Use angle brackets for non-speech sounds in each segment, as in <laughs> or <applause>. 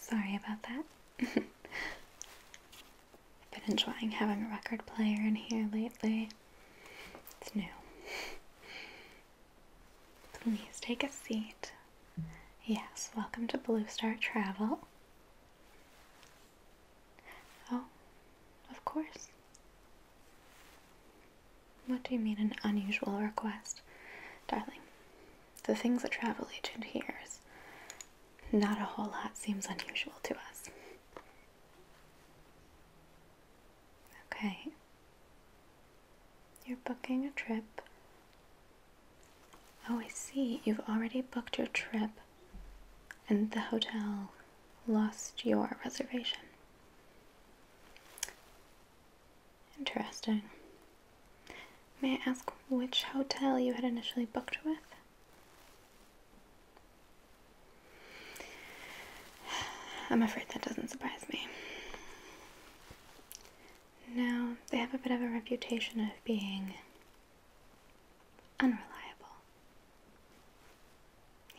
Sorry about that. <laughs> I've been enjoying having a record player in here lately. It's new. Please take a seat. Yes, welcome to Blue Star Travel. Oh, of course. What do you mean an unusual request? Darling, the things a travel agent hears, not a whole lot seems unusual to us. Okay. You're booking a trip Oh, I see. You've already booked your trip, and the hotel lost your reservation. Interesting. May I ask which hotel you had initially booked with? I'm afraid that doesn't surprise me. Now, they have a bit of a reputation of being Unreliable.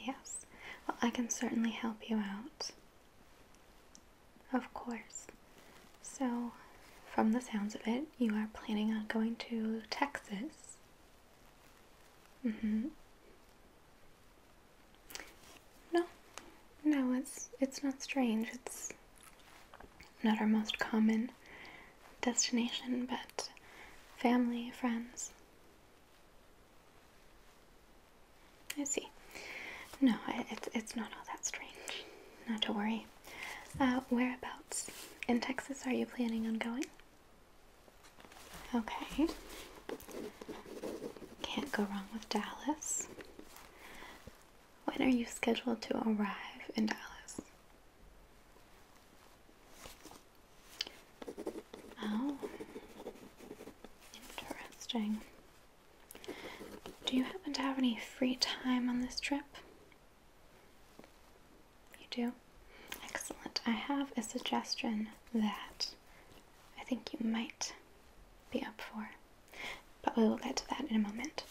Yes. Well, I can certainly help you out. Of course. So, from the sounds of it, you are planning on going to Texas. Mm-hmm. No, no, it's it's not strange. It's not our most common destination, but family, friends. I see. No, it's, it's not all that strange. Not to worry. Uh, whereabouts in Texas are you planning on going? Okay. Can't go wrong with Dallas. When are you scheduled to arrive in Dallas? Oh, interesting. Do you happen to have any free time on this trip? You do? Excellent. I have a suggestion that I think you might be up for, but we will get to that in a moment.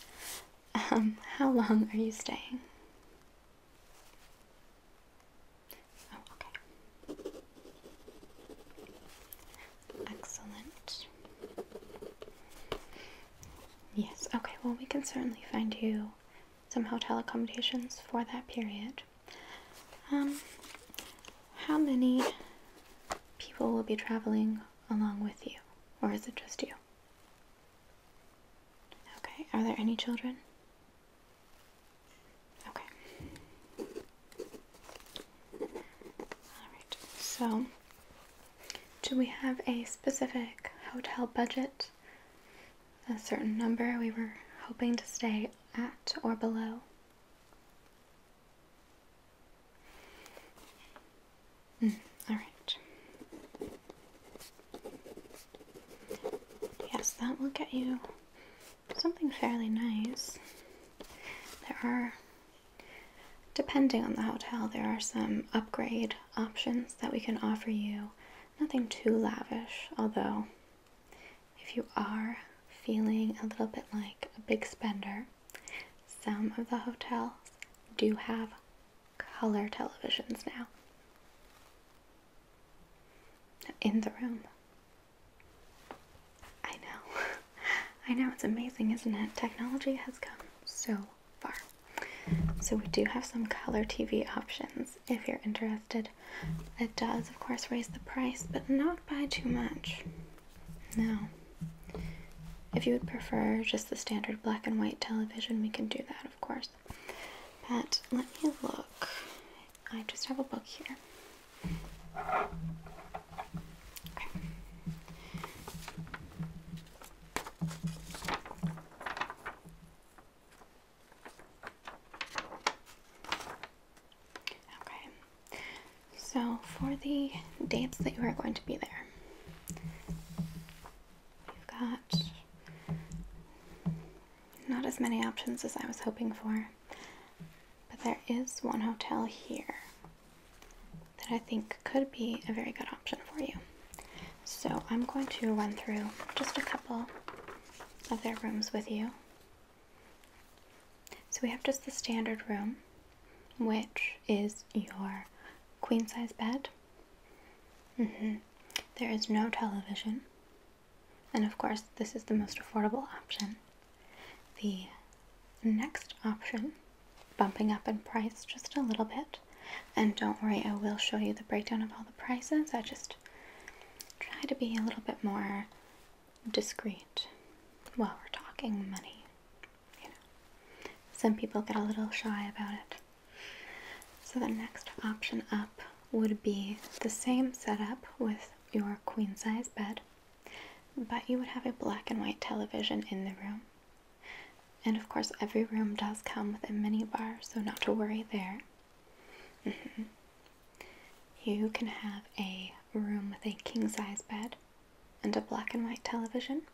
Um, how long are you staying? Oh, okay. Excellent. Yes, okay, well, we can certainly find you some hotel accommodations for that period. Um, how many people will be traveling along with you, or is it just you? Okay, are there any children? Okay. Alright, so do we have a specific hotel budget? A certain number we were hoping to stay at or below? Mm, all right. Yes, that will get you something fairly nice. There are, depending on the hotel, there are some upgrade options that we can offer you. Nothing too lavish, although, if you are feeling a little bit like a big spender, some of the hotels do have color televisions now in the room. I know. <laughs> I know it's amazing, isn't it? Technology has come so far. So we do have some color TV options if you're interested. It does, of course, raise the price, but not by too much. Now, If you would prefer just the standard black and white television, we can do that, of course. But let me look. I just have a book here. Okay. So for the dates that you are going to be there we have got not as many options as I was hoping for, but there is one hotel here that I think could be a very good option for you. So I'm going to run through just a couple of their rooms with you. So we have just the standard room, which is your queen size bed Mm -hmm. There is no television, and of course, this is the most affordable option. The next option, bumping up in price just a little bit, and don't worry, I will show you the breakdown of all the prices. I just try to be a little bit more discreet while we're talking money. You know, some people get a little shy about it. So the next option up would be the same setup with your queen size bed, but you would have a black and white television in the room. And of course, every room does come with a minibar, so not to worry there. Mm-hmm. You can have a room with a king size bed and a black and white television,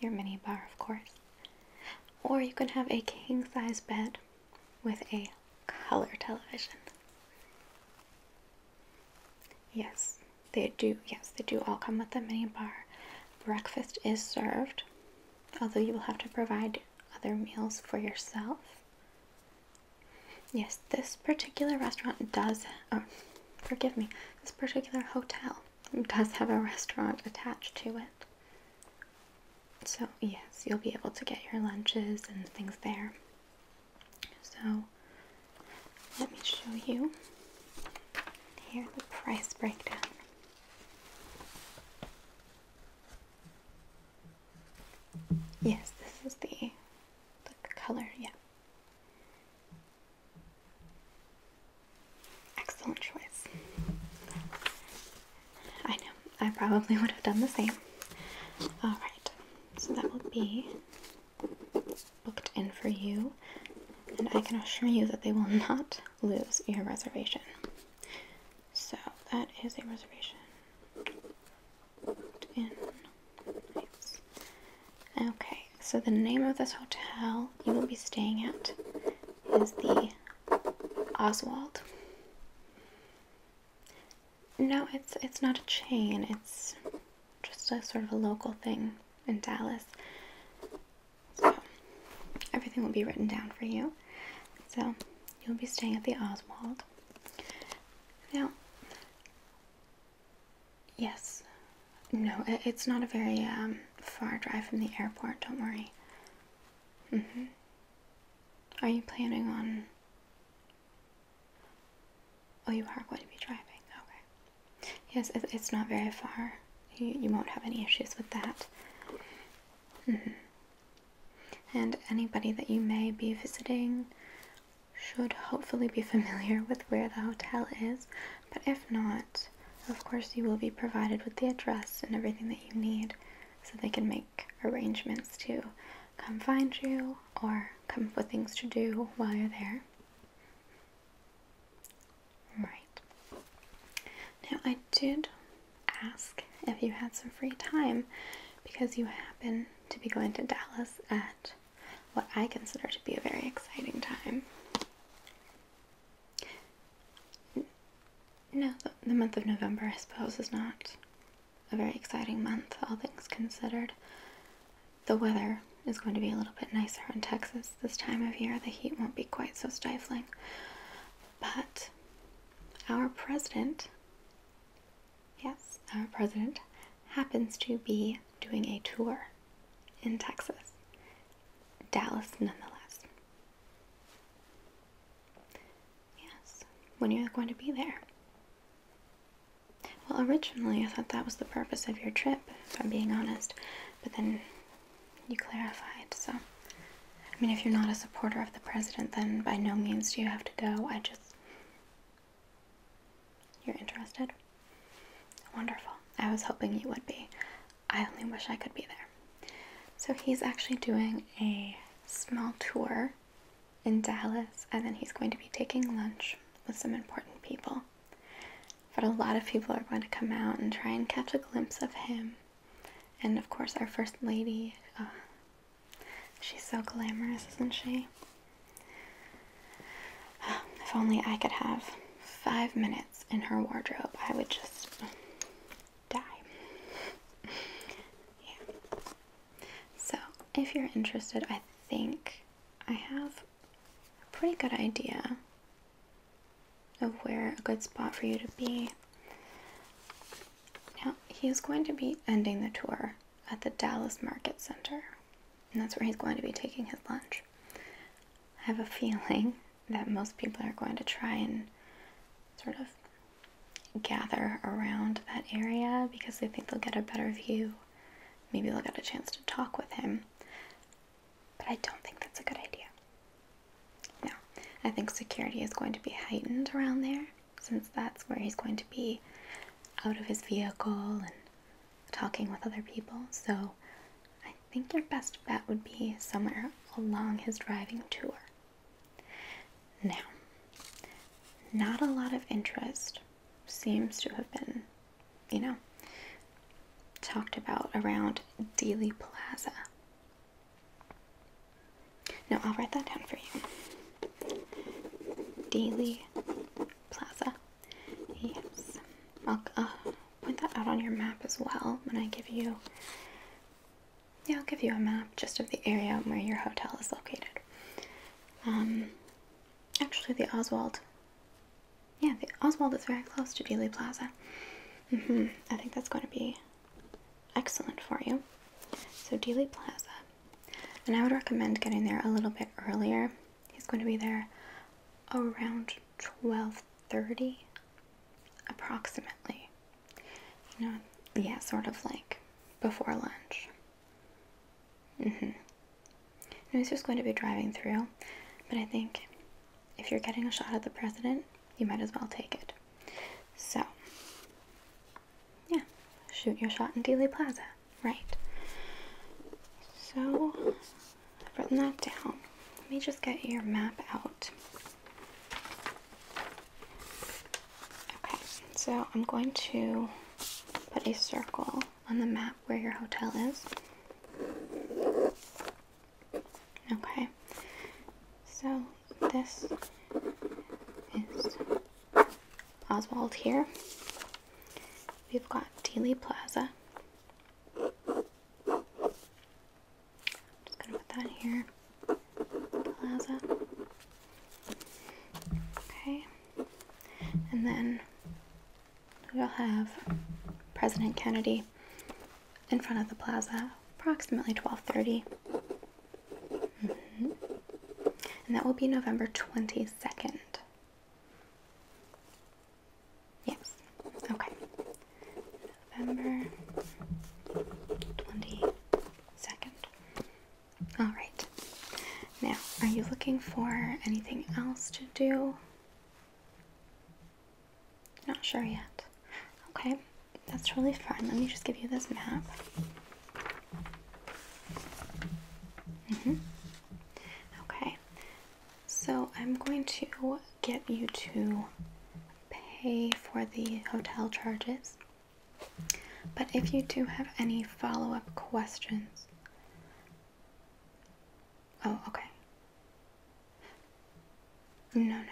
your minibar, of course. Or you can have a king size bed with a color television. Yes, they do. Yes, they do all come with a minibar. Breakfast is served, although you will have to provide other meals for yourself. Yes, this particular restaurant does, oh, forgive me, this particular hotel does have a restaurant attached to it. So, yes, you'll be able to get your lunches and things there. So, let me show you here the price breakdown. Yes, this is the, the color, yeah. Excellent choice. I know, I probably would have done the same. Alright, so that will be booked in for you, and I can assure you that they will not lose your reservation. So that is a reservation in. Okay, so the name of this hotel you will be staying at is the Oswald. No, it's it's not a chain. It's just a sort of a local thing in Dallas. So everything will be written down for you. So you'll be staying at the Oswald. Now, yes, no, it's not a very um, far drive from the airport. Don't worry. Mm hmm. Are you planning on. Oh, you are going to be driving. Okay. Yes, it's not very far. You, you won't have any issues with that. Mm hmm. And anybody that you may be visiting should hopefully be <laughs> familiar with where the hotel is, but if not, of course, you will be provided with the address and everything that you need so they can make arrangements to come find you or come up with things to do while you're there. Right. Now, I did ask if you had some free time because you happen to be going to Dallas at what I consider to be a very exciting time. No, the, month of November, I suppose, is not a very exciting month, all things considered. The weather is going to be a little bit nicer in Texas this time of year. The heat won't be quite so stifling. But our president, yes, our president, happens to be doing a tour in Texas. Dallas, nonetheless. Yes, when you going to be there. Well, originally I thought that was the purpose of your trip, if I'm being honest, but then you clarified, so. I mean, if you're not a supporter of the president, then by no means do you have to go. I just. You're interested? Wonderful. I was hoping you would be. I only wish I could be there. So he's actually doing a small tour in Dallas, and then he's going to be taking lunch with some important people. But a lot of people are going to come out and try and catch a glimpse of him. And of course, our First Lady, uh, she's so glamorous, isn't she? <sighs> if only I could have five minutes in her wardrobe, I would just die. yeah. So, if you're interested, I think I have a pretty good idea of where a good spot for you to be. Now, he is going to be ending the tour at the Dallas Market Center, and that's where he's going to be taking his lunch. I have a <laughs> feeling that most people are going to try and sort of gather around that area because they think they'll get a better view. Maybe they'll get a chance to talk with him. But I don't think that's a good idea. No, I think security is going to be heightened around there since that's where he's going to be out of his vehicle and talking with other people. So I I think your best bet would be somewhere along his driving tour. Now, not a lot of interest seems to have been, you know, talked about around Daily Plaza. Now, I'll write that down for you. Daily Plaza. Yes. I'll uh, point that out on your map as well when I give you yeah, I'll give you a map just of the area where your hotel is located. Um, actually, the Oswald. Yeah, the Oswald is very close to Dealey Plaza. Mm hmm I think that's going to be excellent for you. So Dealey Plaza, and I would recommend getting there a little bit earlier. He's going to be there around twelve thirty, approximately. You yeah, sort of like before lunch. Mm hmm. just going to be driving through, but I think if you're getting a shot at the president, you might as well take it. So, yeah, shoot your shot in Dealey Plaza, right? So, I've written that down. Let me just get your map out. Okay, so I'm going to put a circle on the map where your hotel is. Okay, so this is Oswald here. We've got Dealey Plaza just gonna put that here. Plaza. Okay. And then we'll have President Kennedy in front of the plaza approximately 12:30. Mm-hmm. And that will be November 22nd. Yes. Okay. November 22nd. Alright. Now, are you looking for anything else to do? Not sure yet. Okay, that's really fine. Let me just give you this map. Mm hmm Okay, so I'm going to get you to pay for the hotel charges. But if you do have any follow up questions, oh, okay. No, no.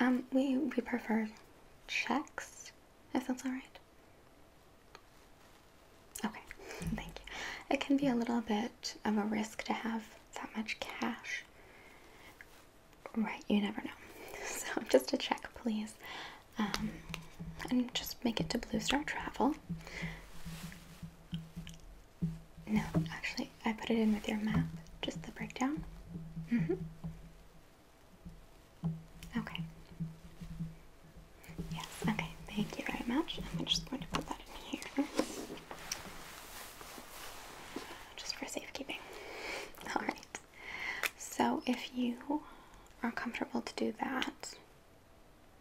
Um, we, we prefer checks, if that's alright. Okay, <laughs> thank you. It can be a little bit of a risk to have that much cash. Right, you never know. <laughs> So just a check, please. Um, and just make it to Blue Star Travel. No, actually, I put it in with your map, just the breakdown. Mm-hmm. Okay. Yes, okay, thank you very much. I'm just going to put that in here just for safekeeping. <laughs> Alright, so if you are comfortable to do that,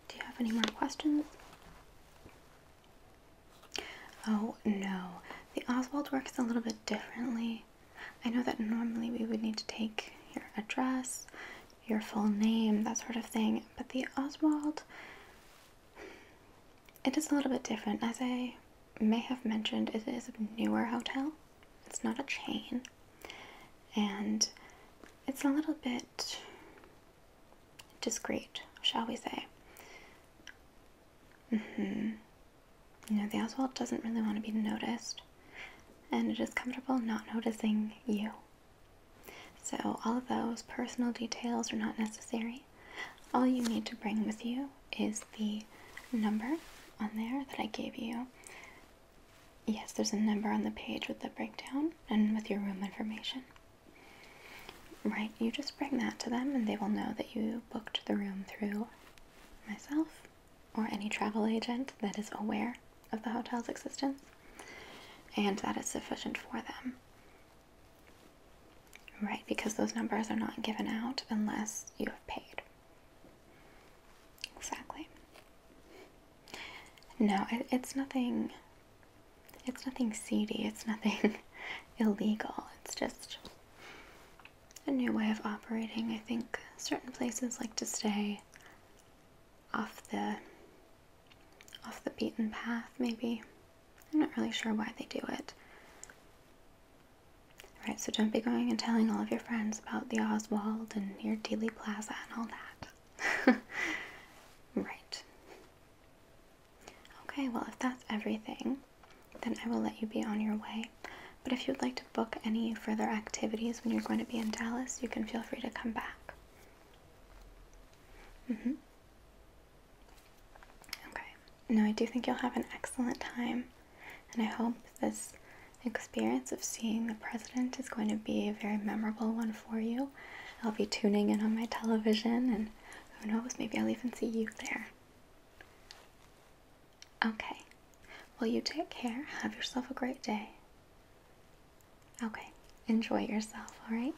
do you have any more questions? Oh no, the Oswald works a little bit differently. I know that normally we would need to take your address, your full name, that sort of thing, but the Oswald it is a little bit different. As I may have mentioned, it is a newer hotel, it's not a chain, and it's a little bit discreet, shall we say. Mm-hmm. You know, the Oswald doesn't really want to be noticed, and it is comfortable not noticing you. So, all of those personal details are not necessary. All you need to bring with you is the number on there that I gave you. Yes, there's a number on the page with the breakdown and with your room information. Right, you just bring that to them and they will know that you booked the room through myself or any travel agent that is aware of the hotel's existence, and that is sufficient for them. Right, because those numbers are not given out unless you have paid. Exactly. No, it's nothing. It's nothing seedy. It's nothing <laughs> illegal. It's just a new way of operating. I think certain places like to stay off the off the beaten path. Maybe I'm not really sure why they do it. Right, so don't be going and telling all of your friends about the Oswald and your Dealey Plaza and all that. <laughs> right. Okay, well, if that's everything, then I will let you be on your way. But if you'd like to book any further activities when you're going to be in Dallas, you can feel free to come back. Mm-hmm. Okay. No, I do think you'll have an excellent time and I hope this experience of seeing the president is going to be a very memorable one for you. I'll be tuning in on my television, and who knows, maybe I'll even see you there. Okay. Well, you take care. Have yourself a great day. Okay. Enjoy yourself, alright?